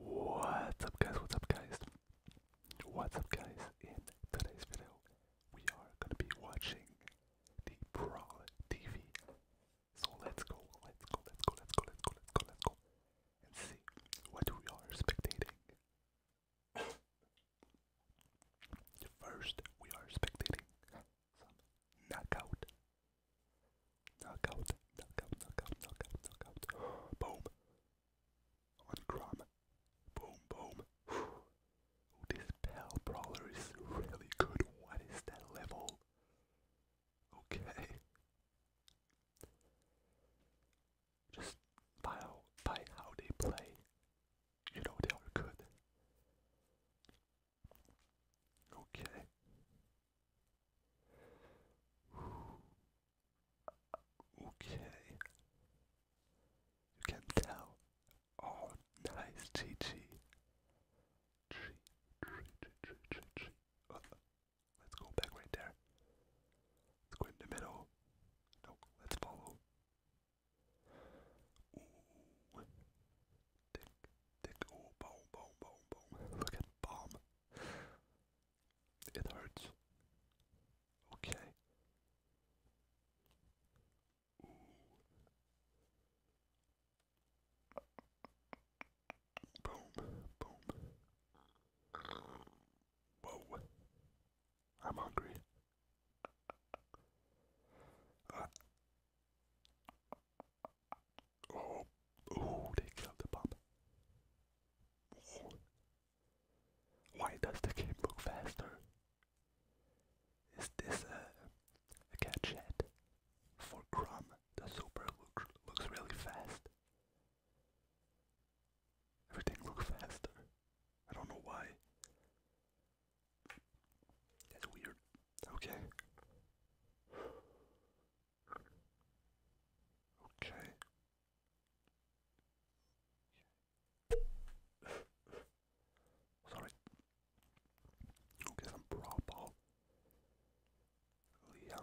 What's up guys, what's up guys, what's up guys, in today's video we are going to be watching the Brawl TV, so let's go, let's go, let's go, let's go, let's go, let's go, let's go, and see what we are spectating. First we are spectating knockout Knockout, knockout, knockout, knockout, knockout. Boom. On Grom. Boom, boom. Whew. This Pal Brawler is really good. What is that level? Okay. Just by how, by how they play, you know they are good. Okay. Okay. You can tell. Oh, nice, GG. G, G, G, G, let's go back right there. Let's go in the middle. No, let's follow. boom, boom, boom, boom. Look at bomb. It hurts. Okay. Boom, boom. Whoa. I'm hungry. Uh. Oh, oh, they killed the pump. Why does the game move faster? Is this a, a for Crumb? The super look, looks really fast. Everything looks faster. I don't know why. That's weird. Okay. Okay. Sorry. Okay, some proper Leon.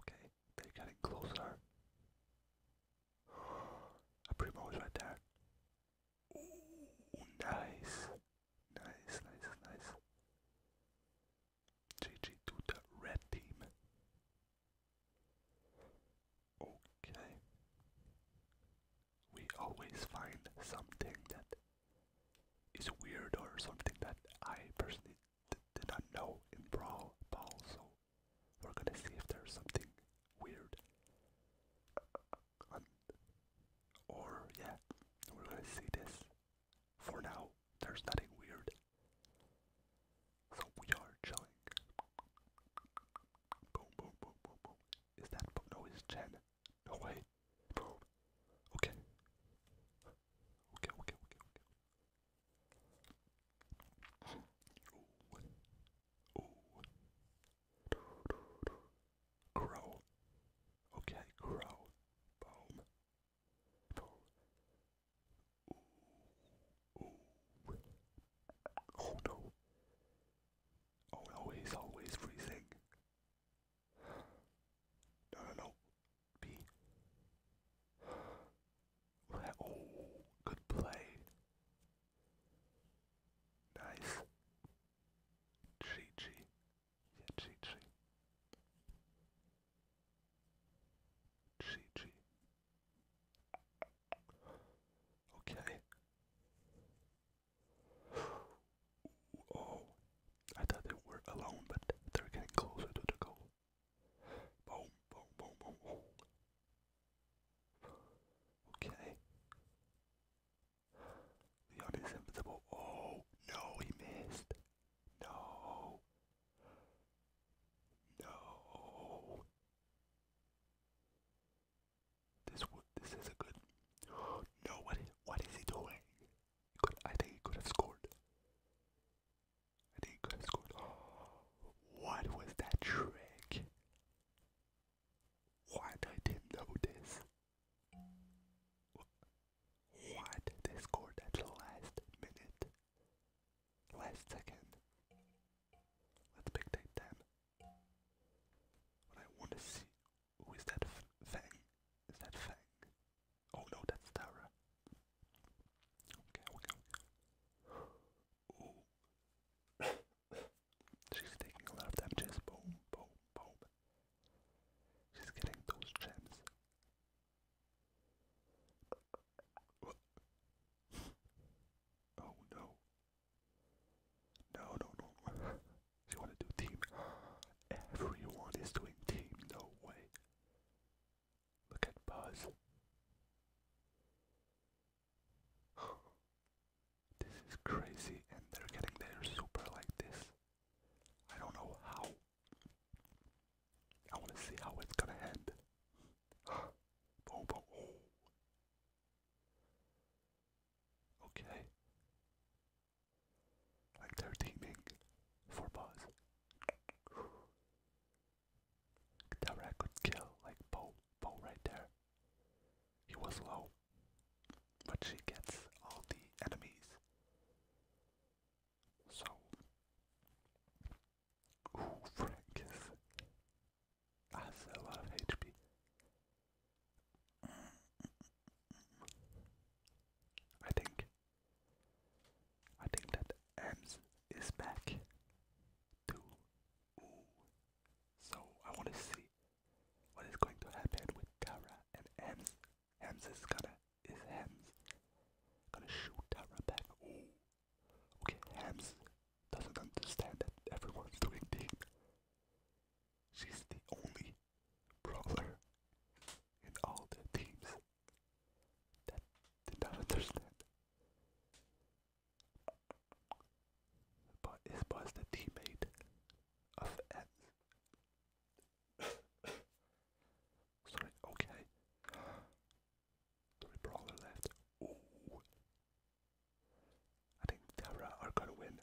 Okay, they're getting closer. A pretty much right there. nice. Nice, nice, nice. GG to the red team. Okay. We always find something that is weird or something that I personally did not know in Brawl Ball, so we're gonna see if there's something weird. Uh, uh, uh, or, yeah, we're gonna see this for now, there's nothing weird. So we are chilling. Boom, boom, boom, boom, boom. Is that No, it's Jen. No way. Boom. Okay. Okay, okay, Grow. Okay, grow. Boom. Boom. Oh no. Oh no, he's always freezing. No, no, no. B. Oh, good play. Nice. GG. GG. GG. Okay. Oh, I thought they were alone, but they're getting closer to the goal. boom, boom, boom, boom. Okay. Leon is Oh, no, he missed. No. No. This this is a good. No, what is, what is he doing? could, I think he could have scored. I think he could have scored. What was that trick? Why I didn't know what? They scored at the last minute. Last second. Let's dictate them. What I want to see. Who is that? Fang? Is that Fang? Oh no, that's Tara. Okay, okay, okay. She's taking a lot of damages. Boom, boom, boom. She's getting those gems. oh no. No, no, no. she wanna do team. Everyone is doing team, no way. Look at Buzz. this is crazy and they're getting their super like this. I don't know how. I want to see how it's gonna end. Okay. Like they're teaming for Buzz. Direct could kill like Bo, Bo right there. He was low, but she gets all the enemies. So, ooh, has a lot of HP. I think, I think that Ems is back too. So I want to see what is going to happen with Kara and Ems Hans is gonna is Hems gonna shoot at Rebecca. Okay, Hems doesn't understand that everyone's doing team. She's the only brawler in all the teams that did not understand. But is Buzz the teammate of Ems? Sorry, okay. Sorry, Brawler left. I think Terra are gonna win.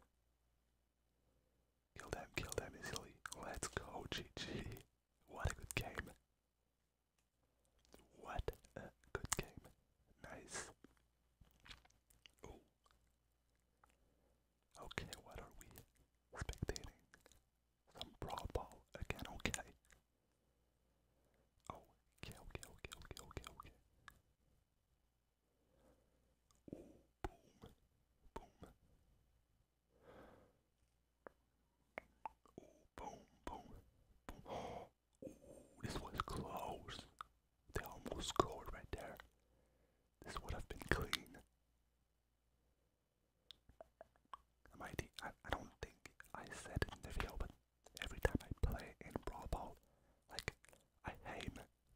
Kill them, kill them easily. Let's go, GG. What a good game. What a good game. Nice. Okay, what are we spectating? Some brawl again, okay. Oh, okay, okay, okay, okay, okay, okay. Ooh, boom, boom. Ooh, boom, boom, boom. Oh, this was close. They almost scored right there. This would have been clean. I, I don't think I said in the video, but every time I play in Brawl Ball, like, I aim.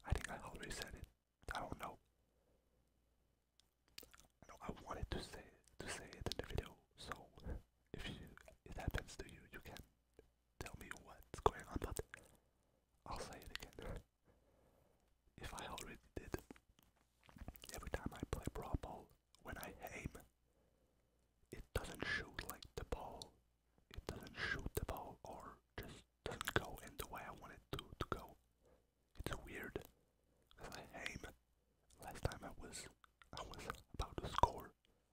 I think I already said it. I don't know. I I wanted to say to say it in the video, so if it happens to you, you can tell me what's going on, but I'll say it again if I already did. Every time I play Brawl Ball, when I aim, it doesn't shoot like the ball. It doesn't shoot the ball or just doesn't go in the way I wanted it to, to go. It's weird. Cause I aim. Last time I was I was about to score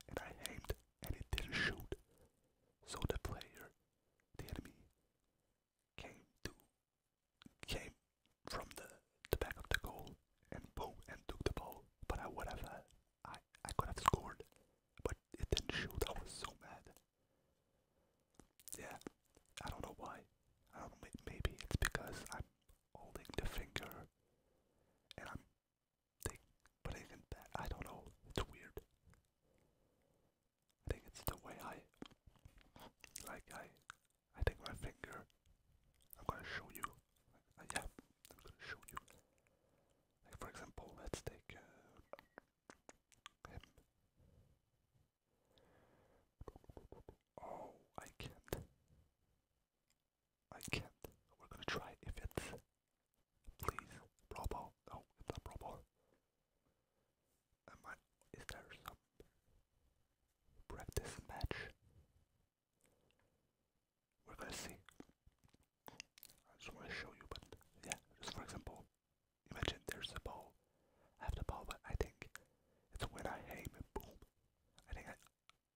and I aimed and it didn't shoot. So the player, the enemy, came to came from the the back of the goal and boom and took the ball. But I would have uh, I I could have scored, but it didn't shoot. I was so mad. Yeah, I don't know why. I don't know. Maybe it's because I'm holding the finger and I'm taking putting I don't know. It's weird. I think it's the way I like I I think my finger I'm gonna show you uh, yeah I'm gonna show you like for example let's take uh, him oh I can't I can't we're gonna try if it's please pro ball it's not pro I, is there some practice match? We're gonna see. I just want to show you, but yeah, just for example, imagine there's a ball. I have the ball, but I think it's when I hit it. boom. I think I,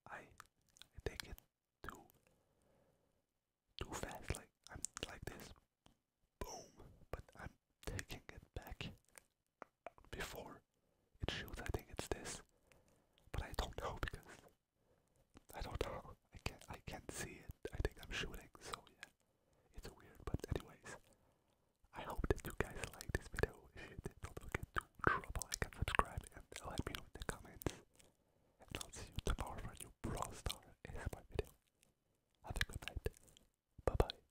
I, I take it too, too fast. Like I'm like this, boom. But I'm taking it back before it shows I think it's this but I don't know because I don't know I can't I can't see it I think I'm shooting so yeah it's weird but anyways I hope that you guys like this video if you did don't forget to drop a like and subscribe and let me know in the comments and I'll see you tomorrow for a new Brawl Star ASMR video have a good night bye bye